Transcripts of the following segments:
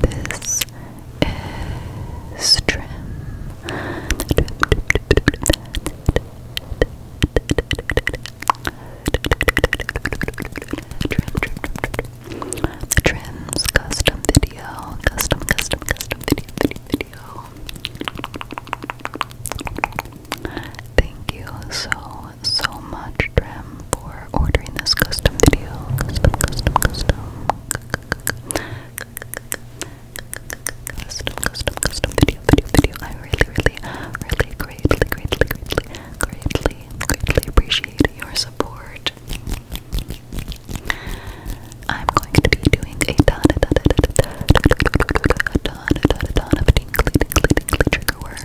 This is trim. Trims custom video, custom, custom, custom video. Thank you so so much, Drem, for ordering this custom video. Custom, custom, custom. Custom, custom, custom video, video, video. I really, really, really greatly, greatly, greatly, greatly, greatly appreciate your support. I'm going to be doing a ton, a ton, a ton, a ton, a ton of tingly, tingly, tingly trigger words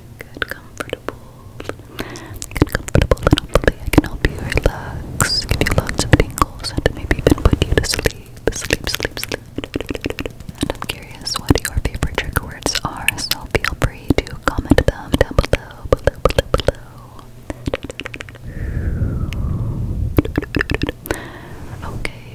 Good, comfortable. Good, comfortable little I can help you relax, give you lots of tingles, and maybe even put you to sleep. Sleep, sleep, sleep. And I'm curious what your favorite trigger words are, so feel free to comment them down below, below, below, below. Okay,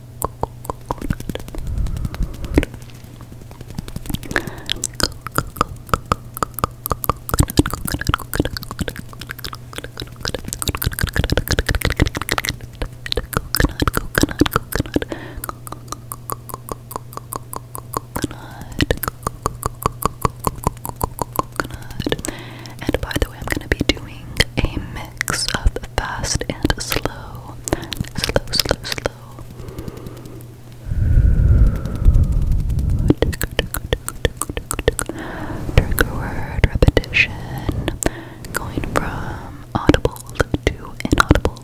coconut. And by the way, I'm going to be doing a mix of fast and slow. Slow, slow, slow. Trigger word repetition going from audible to inaudible.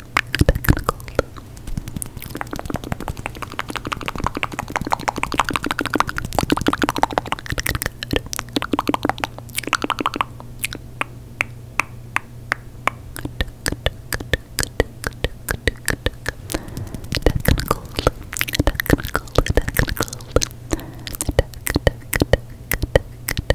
Technical. Technical. Technical. Technical. Technical.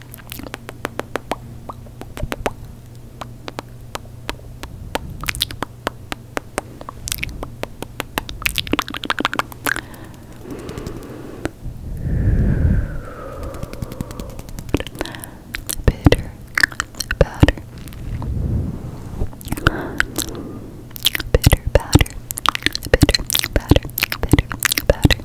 Bitter powder. Bitter powder. Bitter powder. Bitter powder.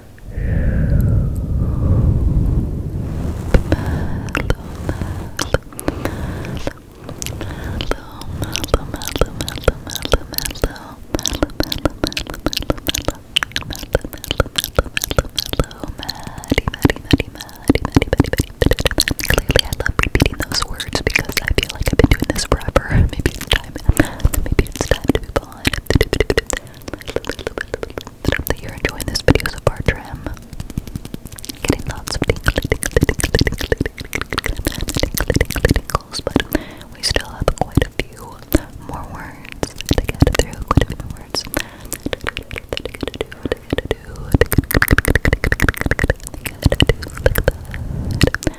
Clearly, I love repeating those words because I feel like I've been doing this forever. Maybe it's time. Maybe it's time to move on. I hope that you're enjoying this video so far, Trim. we still have quite a few more words to get through. Quite a few words.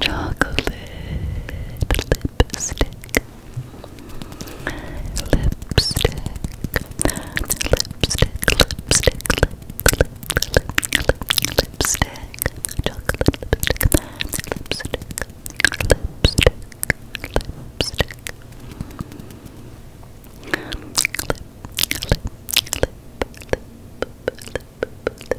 chocolate lipstick, lipstick, lipstick, lipstick, lip, lip, lip, lipstick, chocolate lipstick, lipstick, lipstick, lipstick. Lip, lip, lip, lip, lip, lip, lipstick, lipstick, lipstick.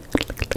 lipstick,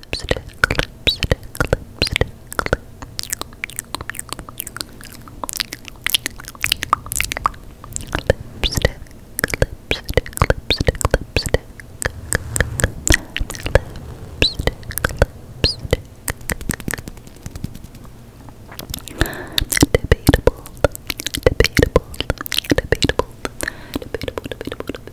lipstick, lipstick, lipstick. Lipstick, lipstick, lipstick, lipstick. Lipstick, lipstick. Debatable, debatable, debatable, debatable, debatable, debatable,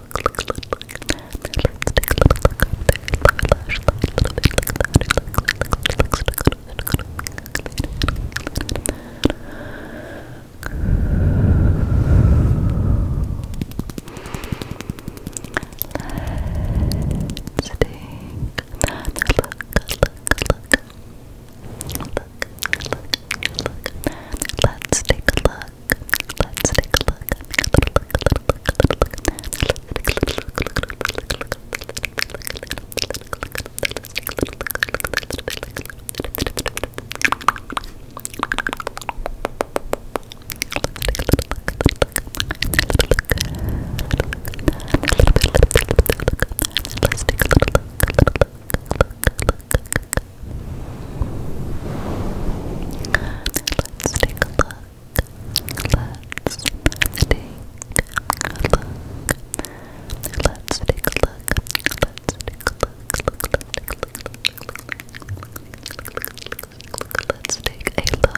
Let's take a look look. Let's take a look. Let's take a little look. Let's take a look. Let's take a look. Let's take a look. Let's take a look. Look, look, look, look, look. Let's take a look.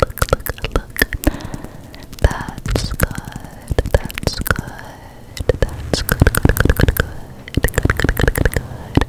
Look, look, look, look. That's good. That's good. That's good. Good, good, good, good, good. Good, good, good, good, good.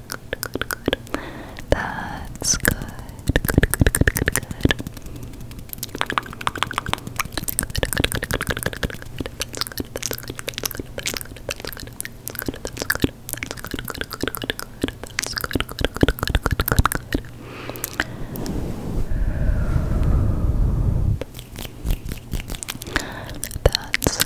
good, good, good. That's good. Good, good, good, good, good. That's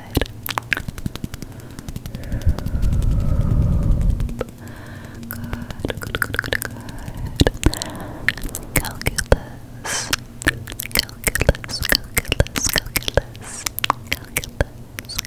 Good, good, good, good, good. Calculus. Calculus, calculus, calculus. Calculus, calculus,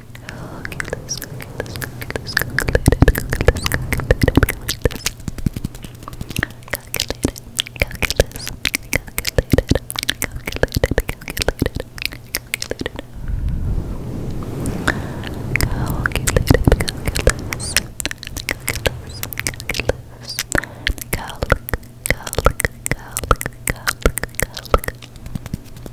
Okay, let's go, okay, let's go, okay, let's go, calculate it, calculus, calculate it, calculate it, calculus, calculate it, calculate it, calculate it, calculate it, calculate it, calculus, calculus, calculus, calc, calc, calc, calc, calc, calc.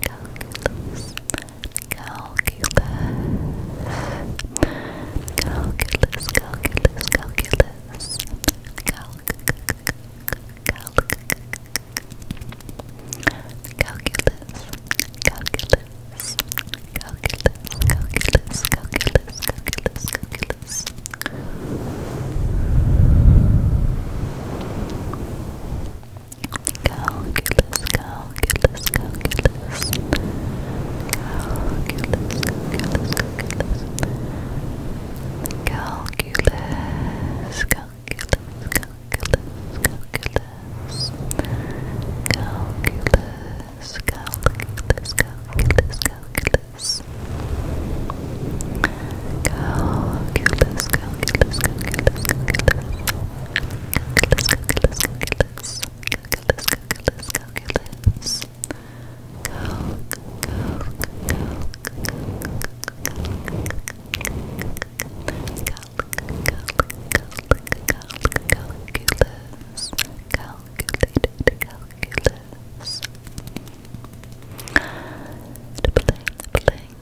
calculus, calculus, calculus, calculus, calculus, calc, calculus, calculus. Calculus, calculus, calculus, calculus, calculus. Calculus, calculus, calculus. Calculus, calculus, calculus. Calculus, calculus, calculus, calculus. Calculus, calculus, calculus, calculus. Calculus, calculus, calculus, calculus. Calculus, calculus, calculus, calculus. Calculus, calculus, calculus. Calculus, calculus, calculus. Calc, calc, calc, calc, calc, calc, calculus. Calculated calculus. Plane, plane,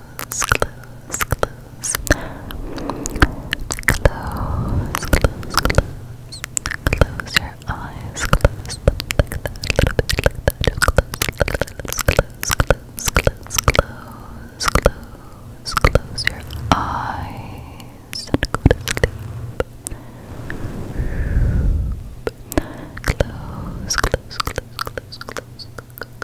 close, close, close. Close, close, close. Close your eyes, close them like that, a little bit like that. Just close, close, close, close, close, close, close your eyes and go to sleep. Close, close, close, close, close, close, close, close, close,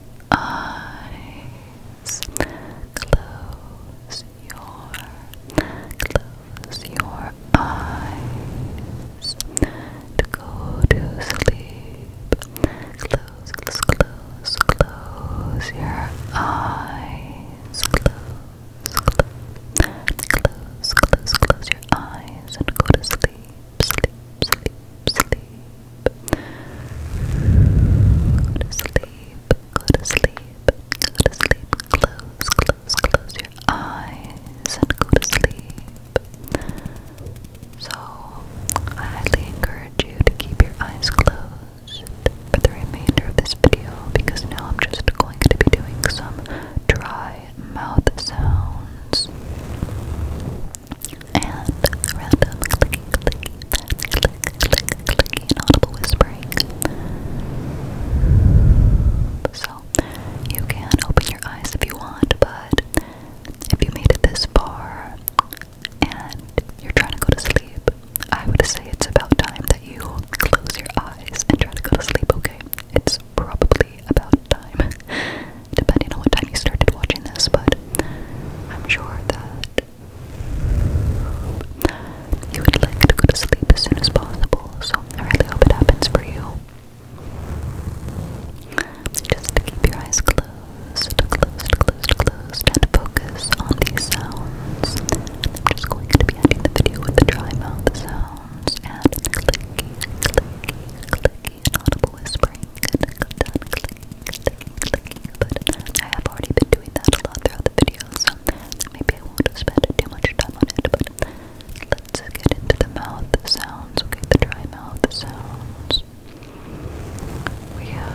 eyes. Close your, close your eyes to go to sleep. Close, close, close, close your eyes. Close, close, close, close, your eyes and go to sleep, sleep, sleep, sleep. Go to sleep. Go to sleep. Go to sleep. Close, close, close your eyes and go to sleep. So, I highly encourage you to keep your eyes closed for the remainder of this video because now I'm just going to be doing some dry mouth sounds and random clicking, clicking, fast click, clicking, and audible whispering. So, you can open your eyes if you want, but if you made it this far and you're trying to go to sleep, I would say it's about time that you close your eyes and try to go to sleep, okay? It's probably about time. depending on what time you started watching this, but I'm sure that you would like to go to sleep as soon as possible, so I really hope it happens for you. Just keep your eyes closed, closed, closed, closed, and focus on these sounds. I'm just going to be ending the video with the dry mouth sounds and clicky, clicky, clicky, audible whispering but I have already been doing that a lot throughout the video, maybe I won't have too much time on it, let's get into the mouth sounds, okay, the dry mouth sounds. We have